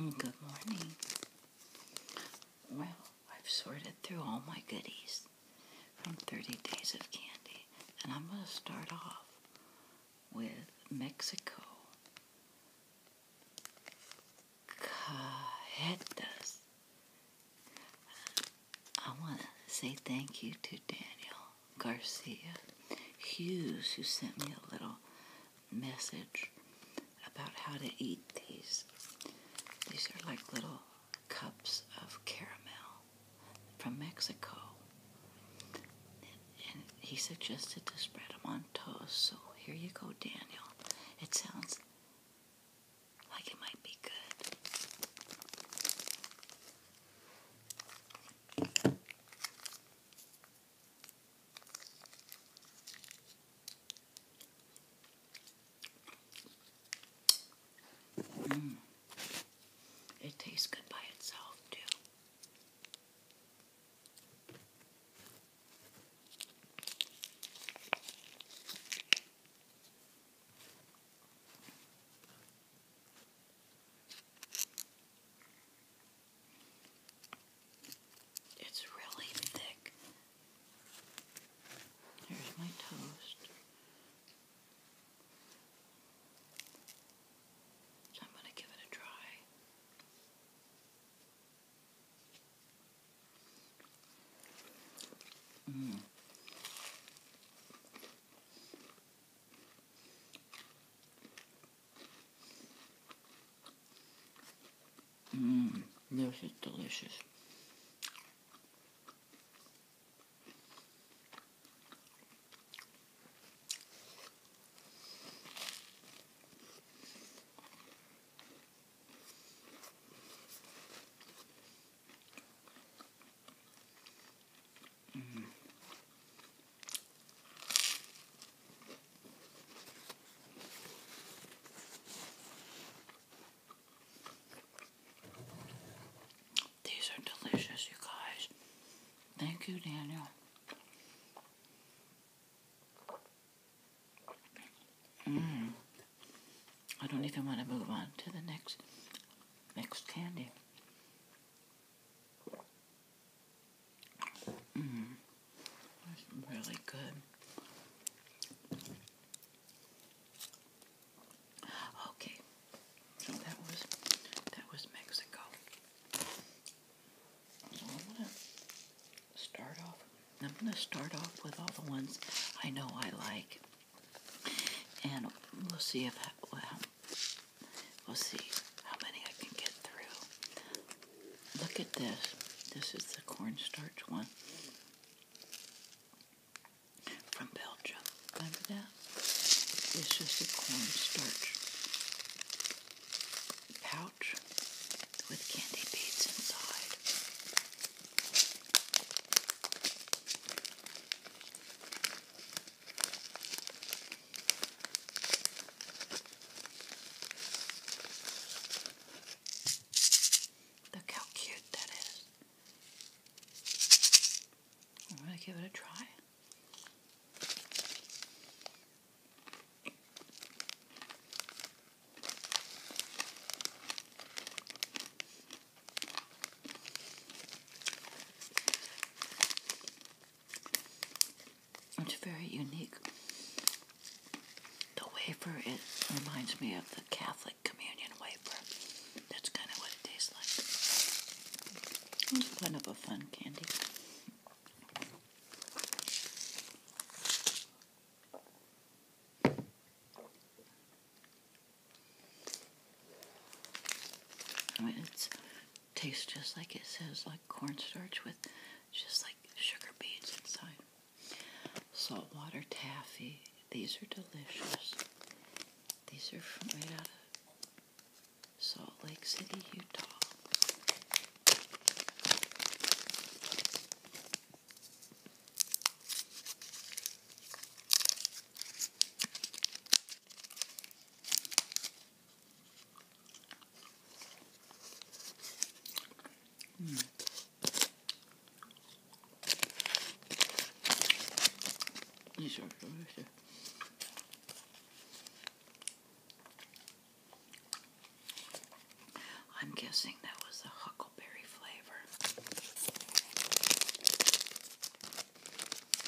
Mm, good morning. Well, I've sorted through all my goodies from 30 Days of Candy, and I'm going to start off with Mexico Cajetas. I want to say thank you to Daniel Garcia Hughes, who sent me a little message about how to eat these. These are like little cups of caramel from Mexico. And he suggested to spread them on toast. So here you go, Daniel. It sounds like it might be good. Mm. It tastes good by itself, too. It's really thick. Here's my toast. I'm going to give it a try. Mm. Mmm, this is delicious. These are delicious, you guys. Thank you, Daniel. Mm. I don't even want to move on to the next next candy. Mm, that's really good. Okay, so that was that was Mexico. So I'm gonna start off. I'm gonna start off with all the ones I know I like, and we'll see if We'll see how many I can get through. Look at this. This is the cornstarch one from Belgium. Remember that? This is the cornstarch pouch with candy beads inside. Look how cute that is. I'm going to give it a try. It's very unique. The wafer, it reminds me of the Catholic communion wafer. That's kind of what it tastes like. It's kind of a fun candy. It's tastes just like it says, like cornstarch with just like sugar beads inside. Saltwater taffy. These are delicious. These are from right out of Salt Lake City, Utah. I'm guessing that was the huckleberry flavor.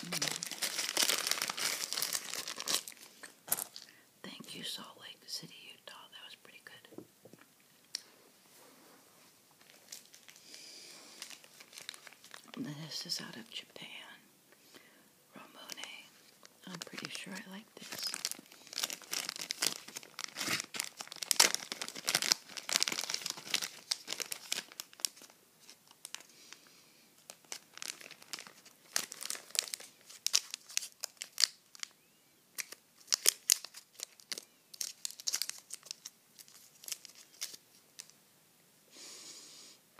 Mm. Thank you, Salt Lake City, Utah. That was pretty good. This is out of Japan. Ramone. I'm pretty sure I like this.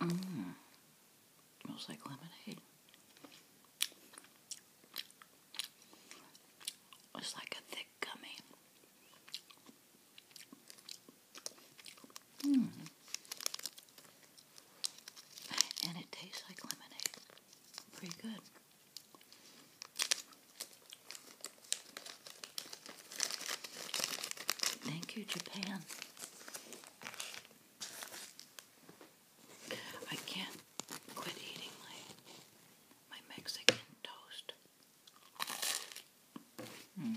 Mmm. Smells like lemonade. It's like a thick gummy. Mmm and it tastes like lemonade. Pretty good. Thank you, Japan. I can't quit eating my my Mexican toast. Mm.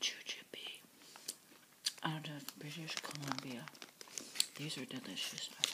Jujube out of British Columbia. These are delicious. I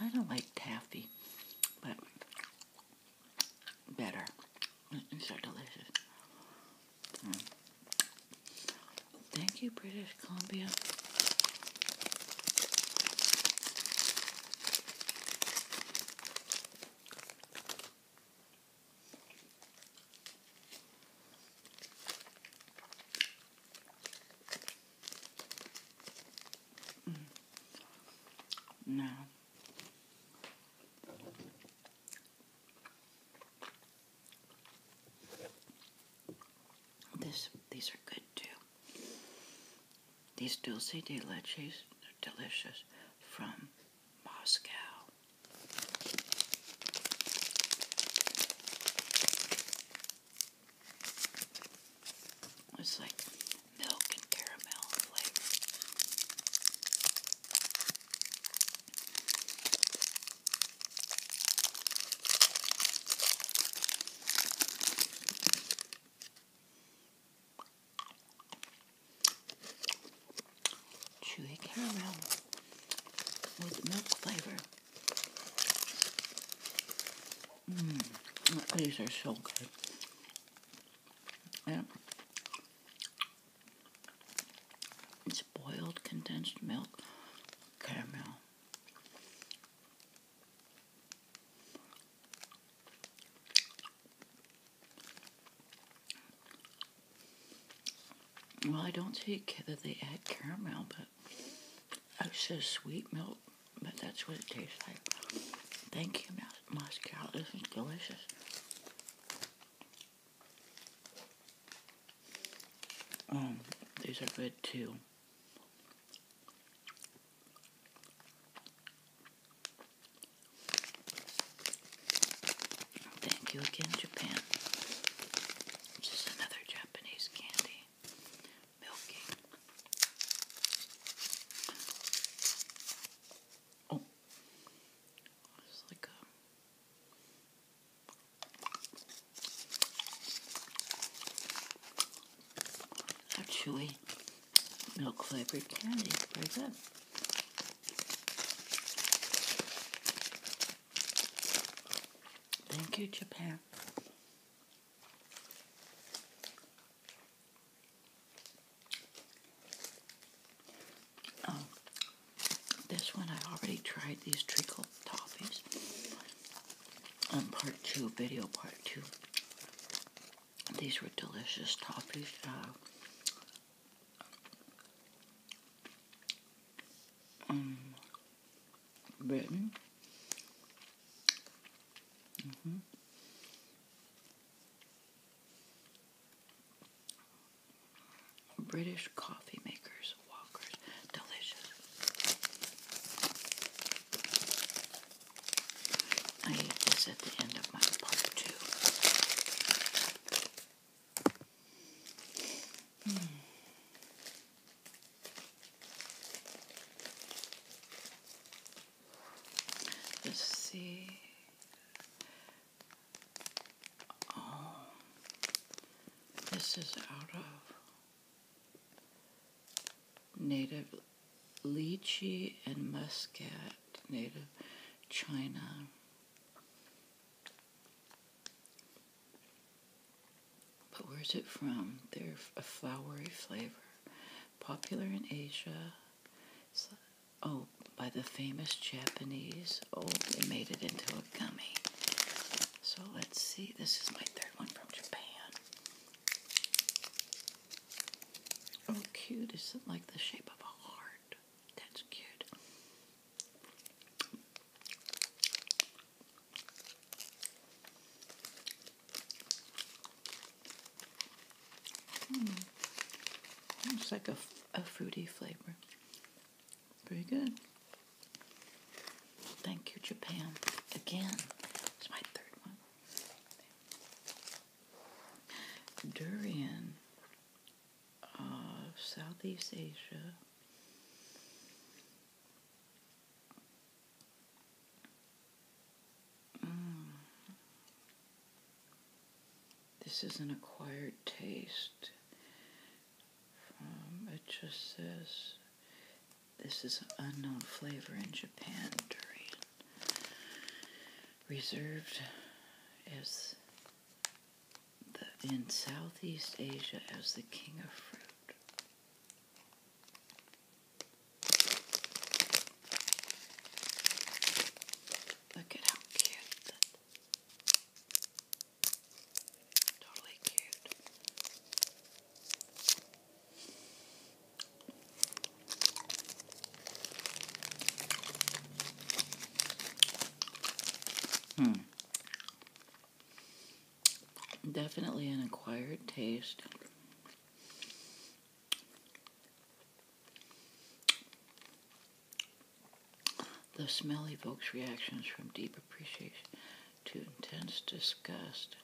I'm kind of like taffy, but better. These are delicious. Thank you, British Columbia. Mm. This, these are good too. These dulce de leches are delicious from Moscow. It's like milk and caramel flavor. Chewy caramel with milk flavor. Mmm, these are so good. Yeah. It's boiled condensed milk, caramel. Well, I don't see that they add caramel, but it oh, says sweet milk, but that's what it tastes like. Thank you, Moscow. This is delicious. Um, these are good too. Thank you again, Japan. This another Japanese candy. Milking. Oh. It's like a chewy. Milk flavored candy. Very good. Thank you, Japan. Um, this one, I already tried these treacle toffees on um, part two, video part two. These were delicious toffees. Uh, um, British coffee makers, Walkers, delicious. I eat this at the end of my part two. Hmm. Let's see. Um, this is out of native lychee and muscat, native China. But where's it from? They're a flowery flavor, popular in Asia. oh, by the famous Japanese. Oh, they made it into Gummy. So let's see. This is my third one from Japan. Oh, cute. Is it like the shape of a heart? That's cute. Hmm. like a fruity flavor. Very good. Thank you, Japan. Again, it's my third one. Durian uh, Southeast Asia. Mm. This is an acquired taste. Um, it just says this is an unknown flavor in Japan Reserved as the, in Southeast Asia as the king of fruit. Look at how cute Hmm. Definitely an acquired taste. The smell evokes reactions from deep appreciation to intense disgust.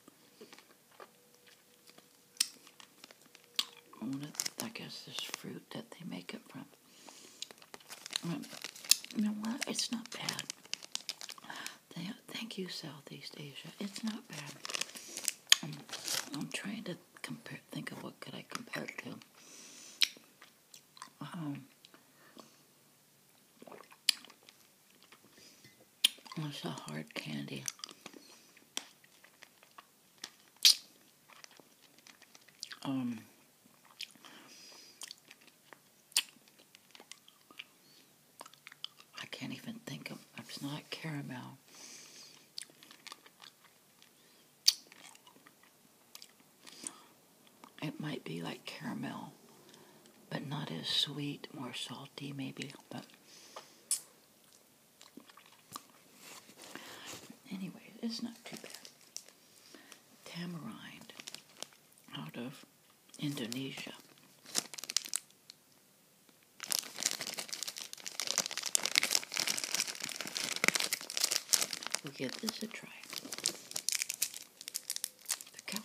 I guess, this fruit that they make it from. Um, you know what? It's not bad. thank you, Southeast Asia. It's not bad. I'm, trying to compare. Think of what could I compare it to. Um, it's a hard candy. Um, I can't even think of it's not caramel. It might be like caramel, but not as sweet, more salty maybe. But anyway, it's not too bad. Tamarind out of Indonesia. We'll give this a try. Look how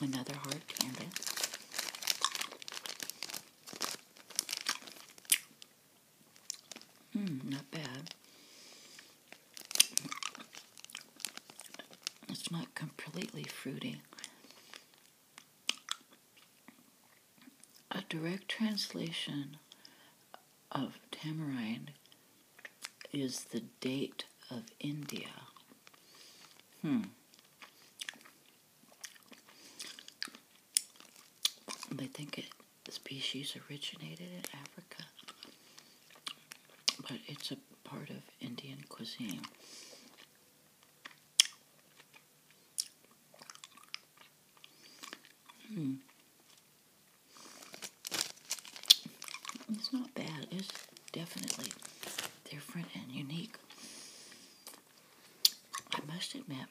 Another hard candy. Hmm, not bad. It's not completely fruity. A direct translation of tamarind is the date of India. Hmm. They think it the species originated in Africa, but it's a part of Indian cuisine. Hmm. It's not bad. It's definitely different and unique. I must admit,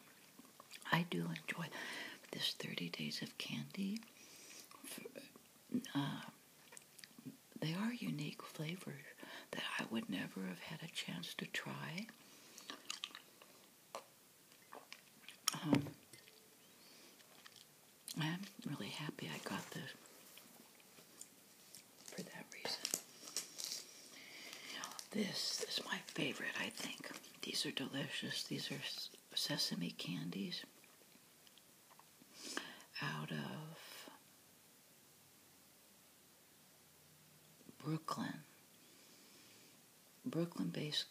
I do enjoy this 30 Days of Candy. Uh, they are unique flavors that I would never have had a chance to try. Um, I'm really happy I got this for that reason. This is my favorite, I think. These are delicious. These are sesame candies out of Brooklyn. Brooklyn based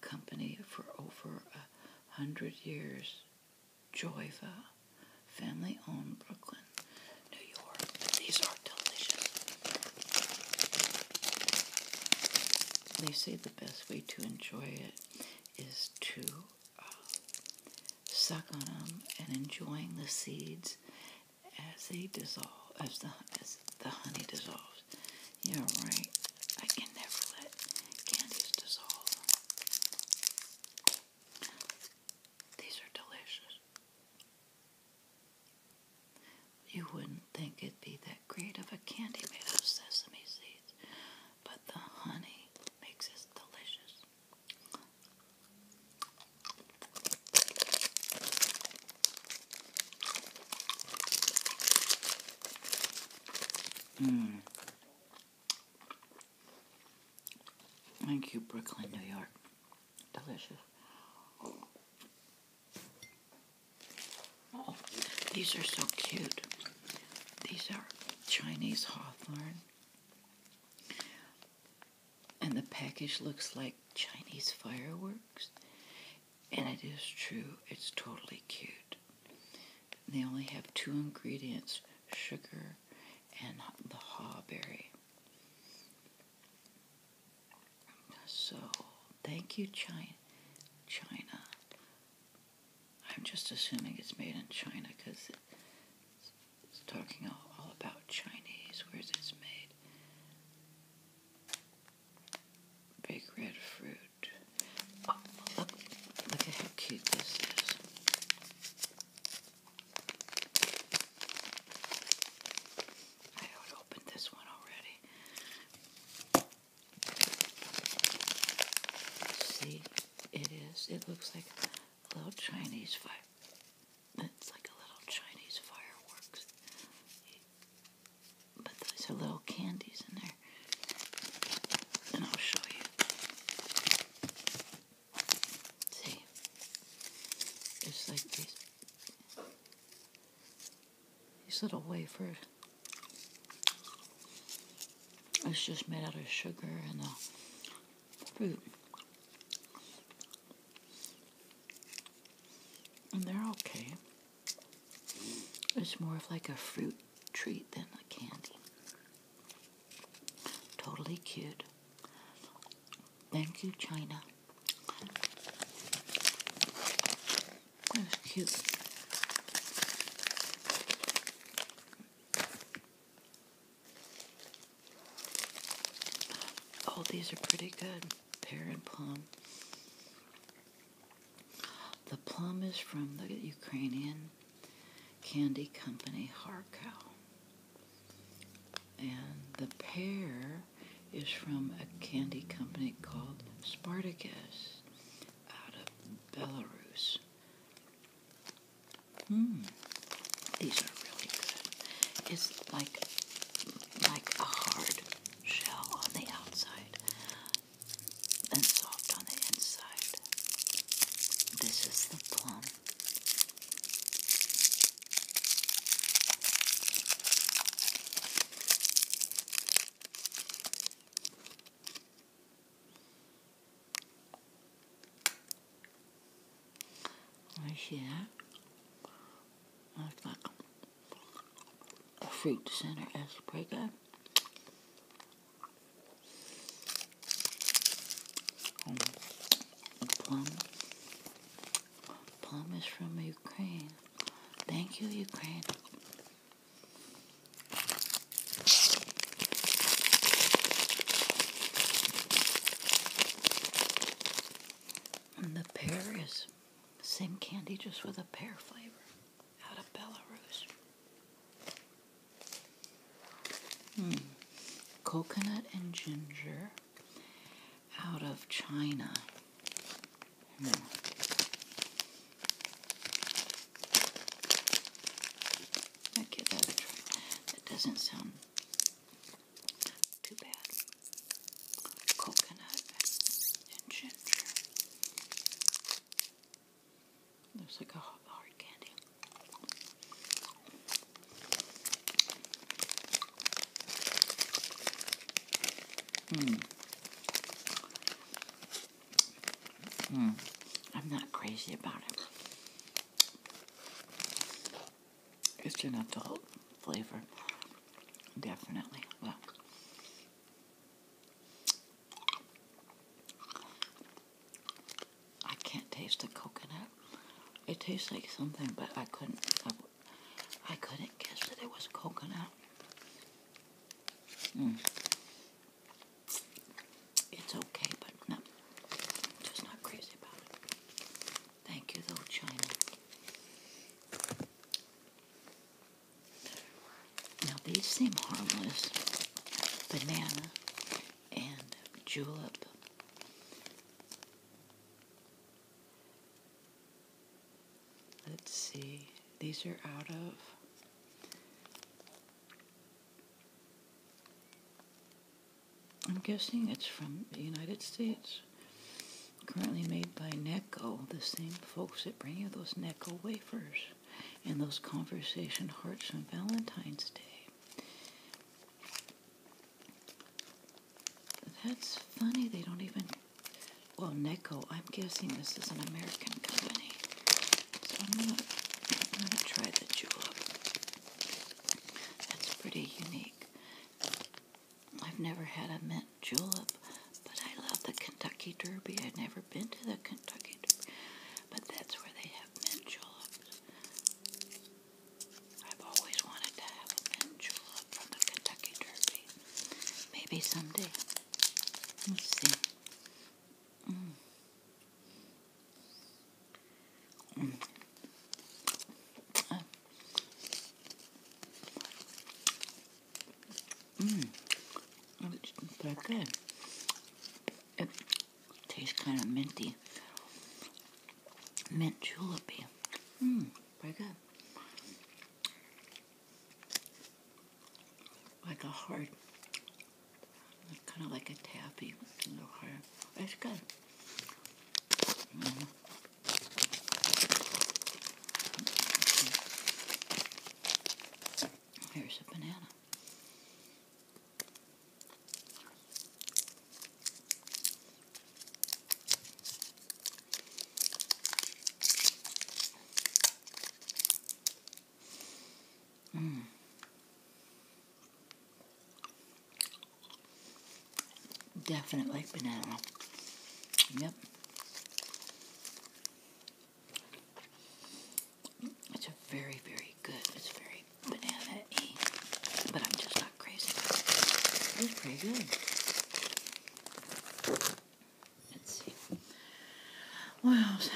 company for over a hundred years, Joyva, family owned Brooklyn, New York. These are delicious they say the best way to enjoy it is to uh, suck on them and enjoying the seeds as they dissolve, as the as the honey dissolves. Yeah, right. I can never let candies dissolve. These are delicious. You wouldn't think it'd be that great of a candy made of sesame seeds, but the honey makes it delicious. Mm. Thank you, Brooklyn, New York. Delicious. Oh, these are so cute. These are Chinese hawthorn. And the package looks like Chinese fireworks. And it is true, it's totally cute. They only have two ingredients sugar and the hawberry. So, thank you, China. China. I'm just assuming it's made in China because it's, talking all, about Chinese. Where's it's made? Big red fruit. Oh, look, at how cute this is. I opened this one already. See, it is. It looks like a little Chinese fire. It's like a little Chinese fireworks. But those are little candies in there. And I'll show you. See? It's like these. These little wafers. It's just made out of sugar and a uh, fruit. And they're okay. It's more of like a fruit treat than a candy. Totally cute. Thank you, China. Oh, these are pretty good. Pear and plum. The plum is from the Ukrainian candy company Harkow. And the pear is from a candy company called Spartacus out of Belarus. Hmm. these are really good. It's like like a hard shell on the outside and soft on the inside. This is the plum. Right here. Looks a fruit center as breaker. Um, plum. Plum is from Ukraine. Thank you, Ukraine. And the pear is same candy, just with a pear flavor out of Belarus. Mm. Coconut and ginger out of China. Hmm. that doesn't sound too bad. Coconut and ginger. There's like a hard candy. Hmm. Hmm. I'm not crazy about it. It's an adult flavor, definitely. Well, I can't taste the coconut. It tastes like something, but I couldn't. I couldn't guess that it was coconut. Mm. It's okay, but no, just not crazy about it. Thank you, though, China. Now, these seem harmless. Banana and julep let's see, these are out of I'm guessing it's from the United States. Currently made by Necco, the same folks that bring you those Necco wafers and those conversation hearts on Valentine's Day. That's funny, they don't even well, Neko, I'm guessing this is an American company. So I'm going to try the julep. That's pretty unique. I've never had a mint julep, but I love the Kentucky Derby. I've never been to the Kentucky Derby, but that's where they have mint juleps. I've always wanted to have a mint julep from the Kentucky Derby. Maybe someday. Let's see. Mm. Mm. Uh. Mm. mm. It tastes kind of minty. Mint julep. Mmm, very good like a hard, kind of like a taffy, No hard. It's good. Mm -hmm. a banana. Mm. Definitely banana. Yep. It's very, very good. It's very banana but I'm just not crazy It's pretty good. Let's see. What else?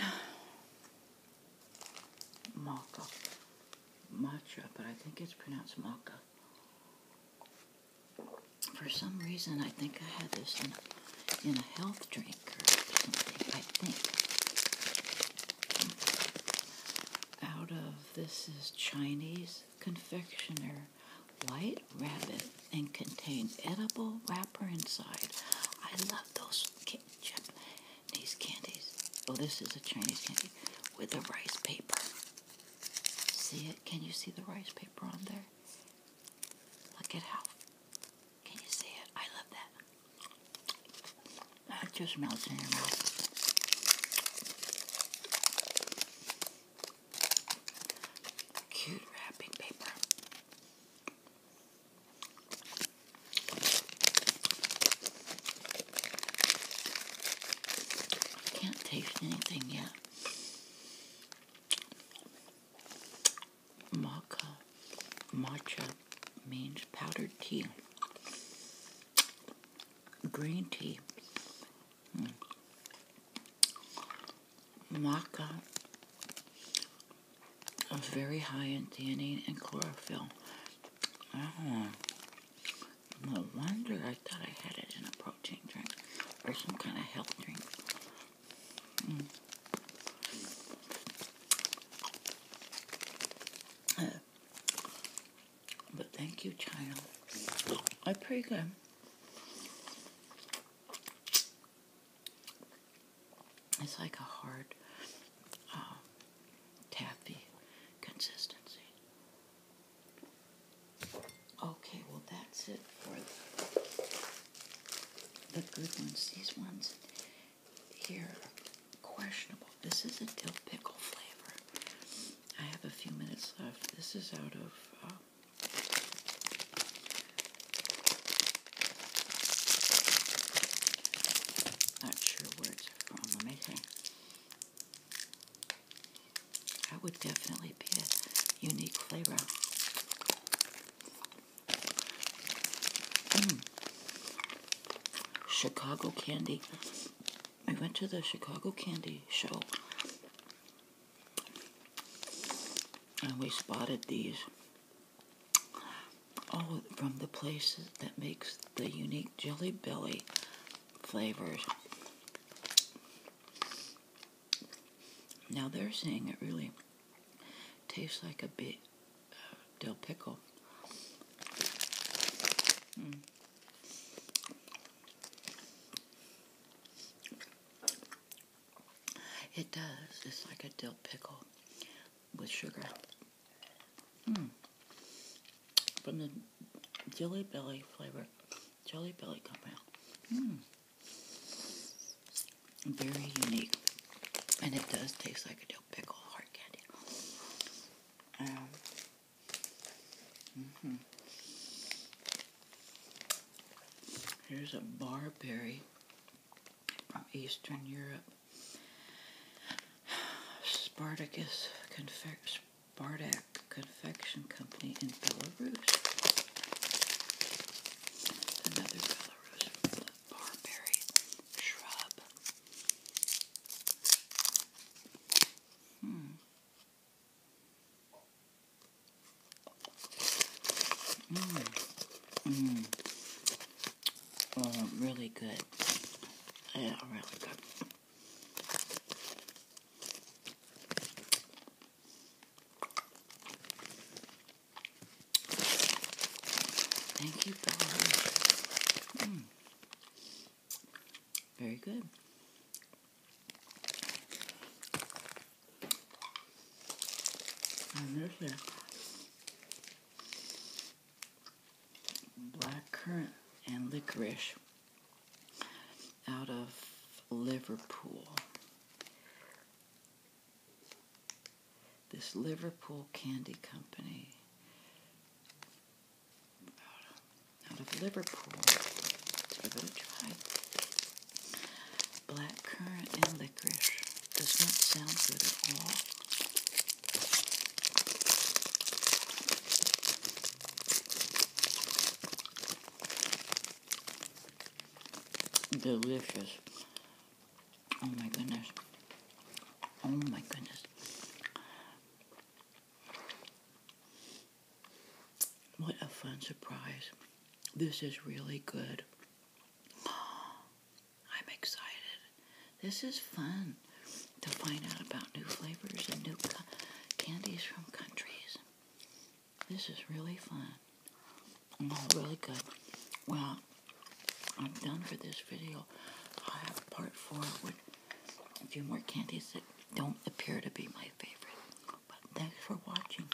Maca. Matcha, but I think it's pronounced maca. For some reason, I think I had this in a, in a health drink I think. Out of, this is Chinese confectioner white rabbit and contain edible wrapper inside. I love those Japanese candies. Oh, this is a Chinese candy with the rice paper. See it? Can you see the rice paper on there? Look at how. Can you see it? I love that. It just melts in your mouth. Cute wrapping paper. Can't taste anything yet. Maca, matcha means powdered tea. Green tea. Hmm maca is very high in theanine and chlorophyll. Ah. no wonder I thought I had it in a protein drink or some kind of health drink. Hmm. Uh. but thank you, child. I pray good. It's like a hard, um, taffy consistency. Okay, well that's it for the, good ones. These ones here questionable. This is a dill pickle flavor. I have a few minutes left. This is out of um, not sure where it's from. Let That would definitely be a unique flavor. Hmm. Chicago candy. We went to the Chicago candy show. And we spotted these all oh, from the places that makes the unique Jelly Belly flavors. Now they're saying it really tastes like a bit uh, dill pickle. It does. It's like a dill pickle with sugar. Mm. From the Jelly Belly flavor, Jelly Belly company. Mm. Very unique. And it does taste like a dill pickle hard candy. Um, mm-hmm. Here's a barberry from Eastern Europe. Spartacus Confec- Spartak Confection Company in Belarus. Another Belarus barberry shrub. Hmm. Mmm. Mmm. Oh, really good. Yeah, really good. Thank you, mm. Very good. And there's a black currant and licorice out of Liverpool. This Liverpool Candy Company out of, Liverpool. I'm going to try Black currant and licorice does not sound good at all. Delicious. Oh my goodness. Oh my goodness. What a fun surprise. This is really good. I'm excited. This is fun to find out about new flavors and new candies from countries. This is really fun. Oh, really good. Well, I'm done for this video. I have part four with a few more candies that don't appear to be my favorite. But thanks for watching.